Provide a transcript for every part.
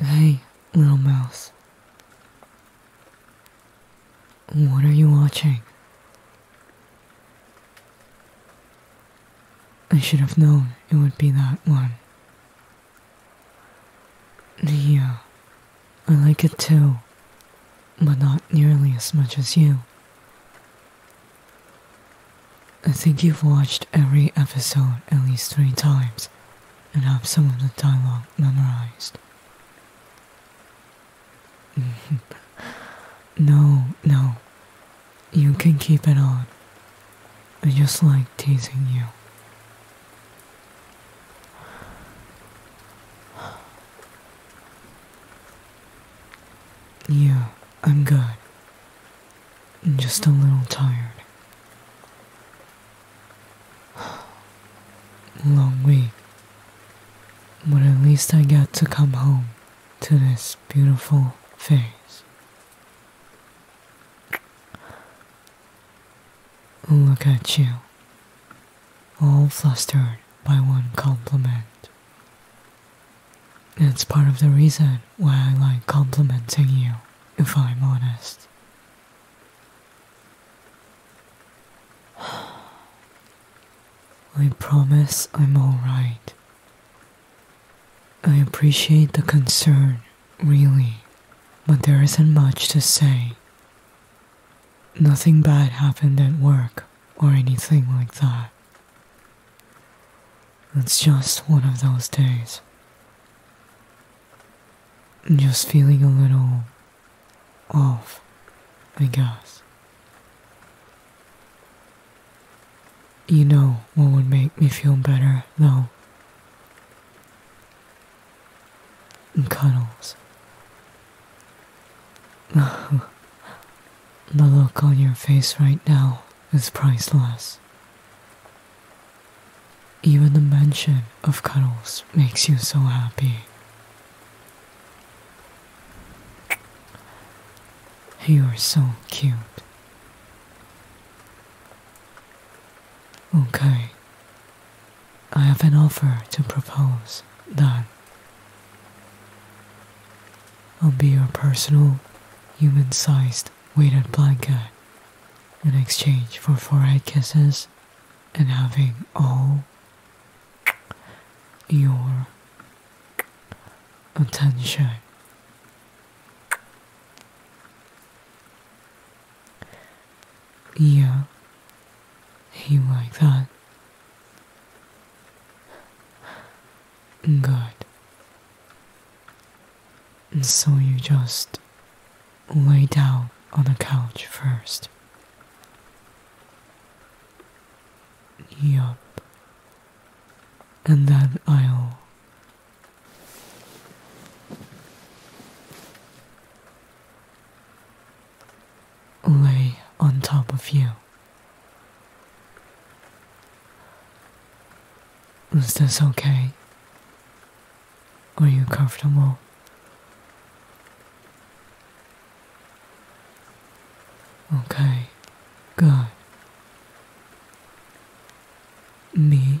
Hey, little mouse. What are you watching? I should have known it would be that one. Yeah, uh, I like it too, but not nearly as much as you. I think you've watched every episode at least three times and have some of the dialogue memorized. no, no. You can keep it on. I just like teasing you. Yeah, I'm good. Just a little tired. Long week. But at least I got to come home to this beautiful face. Look at you, all flustered by one compliment. That's part of the reason why I like complimenting you, if I'm honest. I promise I'm alright. I appreciate the concern, really, but there isn't much to say. Nothing bad happened at work or anything like that. It's just one of those days. Just feeling a little off, I guess. You know what would make me feel better, though? Cuddles. the look on your face right now is priceless. Even the mention of cuddles makes you so happy. You are so cute. Okay. I have an offer to propose that I'll be your personal human sized last blanket in exchange for forehead kisses and having all your attention. Yeah, he like that. Good. And so you just lay down on the couch first. Yup. And then I'll. Lay on top of you. Is this okay? Are you comfortable? Okay, good. Me?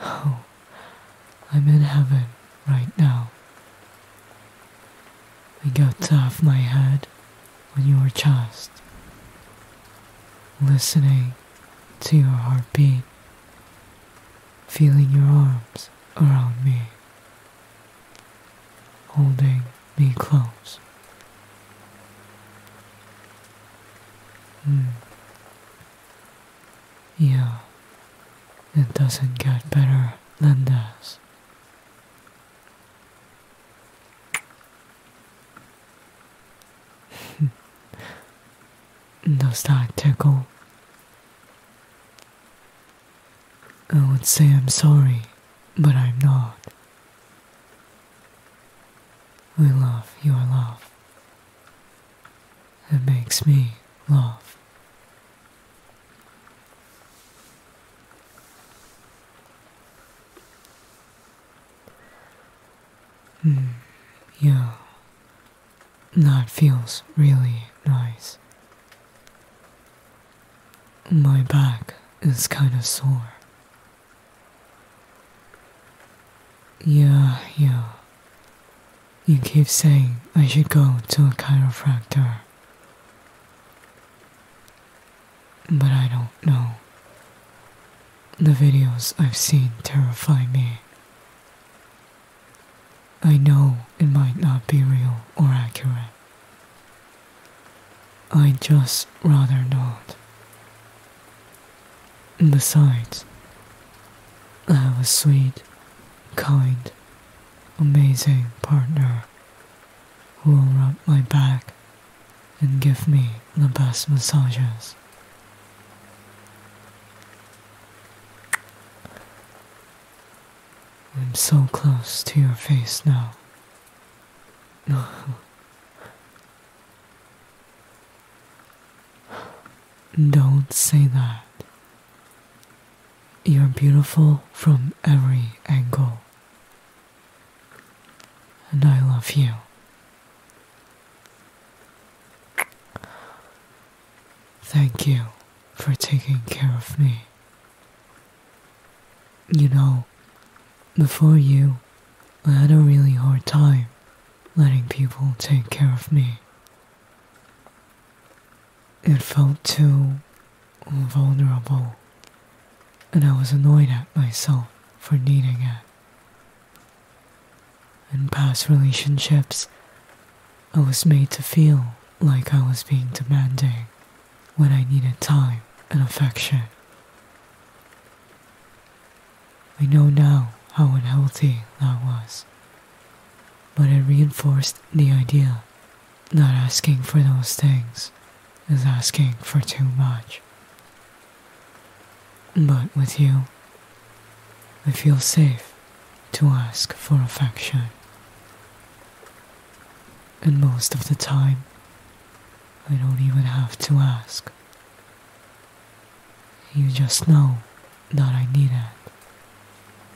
Oh, I'm in heaven right now. I got off my head when you your just listening to your heartbeat, feeling your arms around me, holding me close. Hmm. Yeah, it doesn't get better than this. Does that tickle? I would say I'm sorry, but I'm not. We love your love. It makes me laugh. Mm, yeah. That feels really nice. My back is kinda sore. Yeah, yeah. You keep saying I should go to a chiropractor. But I don't know. The videos I've seen terrify me. I know it might not be real or accurate. I'd just rather not. Besides, I have a sweet, kind, amazing partner who will rub my back and give me the best massages. I'm so close to your face now. Don't say that. You're beautiful from every angle. And I love you. Thank you for taking care of me. You know, before you, I had a really hard time letting people take care of me. It felt too vulnerable, and I was annoyed at myself for needing it. In past relationships, I was made to feel like I was being demanding when I needed time and affection. I know now how unhealthy that was, but it reinforced the idea that asking for those things is asking for too much. But with you, I feel safe to ask for affection. And most of the time, I don't even have to ask. You just know that I need it,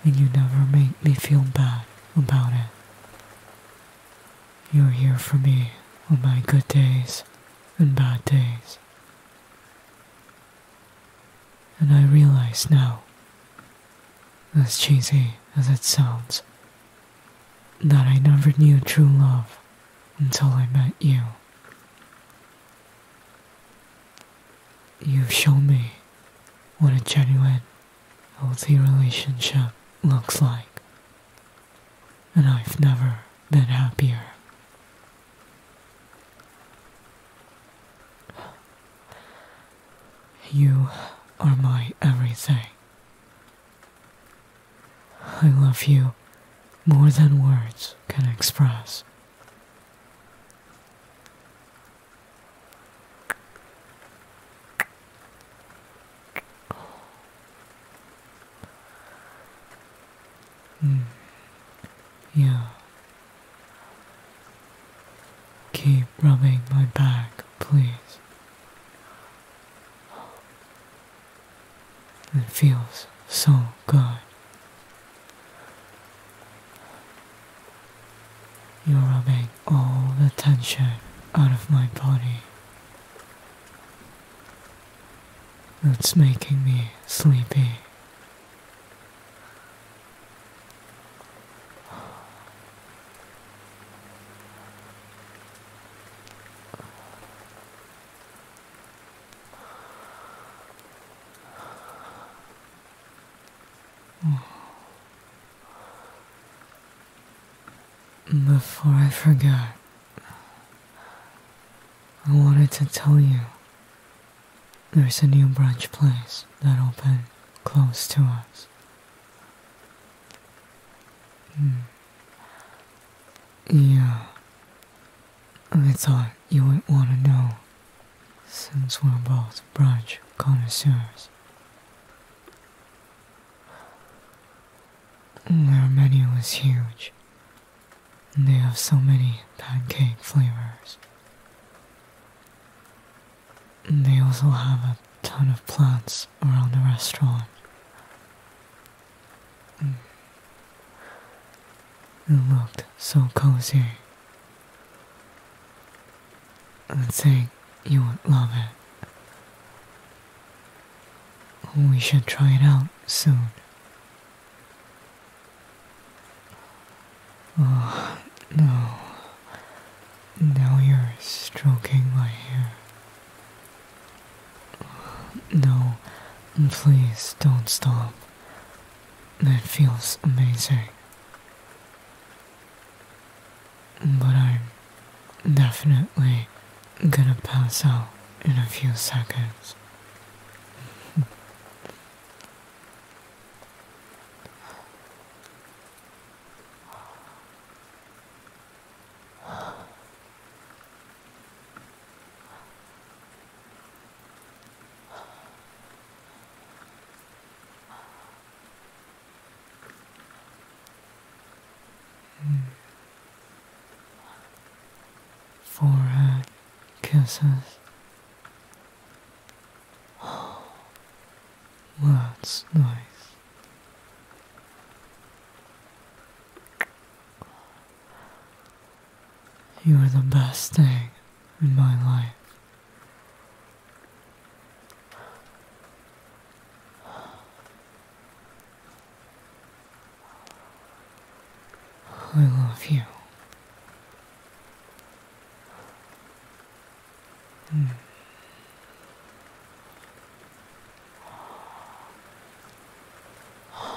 and you never make me feel bad about it. You're here for me on my good days and bad days. And I realize now, as cheesy as it sounds, that I never knew true love until I met you. You've shown me what a genuine, healthy relationship looks like and I've never been happier. You are my everything. I love you more than words can express. Hmm. Yeah. Keep rubbing my back, please. It feels so good. You're rubbing all the tension out of my body that's making me sleepy. Before I forget. I wanted to tell you there's a new brunch place that opened close to us. Hmm. Yeah, I thought you would not want to know since we're both brunch connoisseurs. Their menu was huge and they have so many pancake flavors. And they also have a ton of plants around the restaurant. Mm. It looked so cozy. I'd say you would love it. We should try it out soon. Oh, no. Now you're stroking my hair. No, please don't stop. That feels amazing. But I'm definitely I'm gonna pass out in a few seconds. for her kisses. that's nice. You are the best thing in my life. I love you. Mm.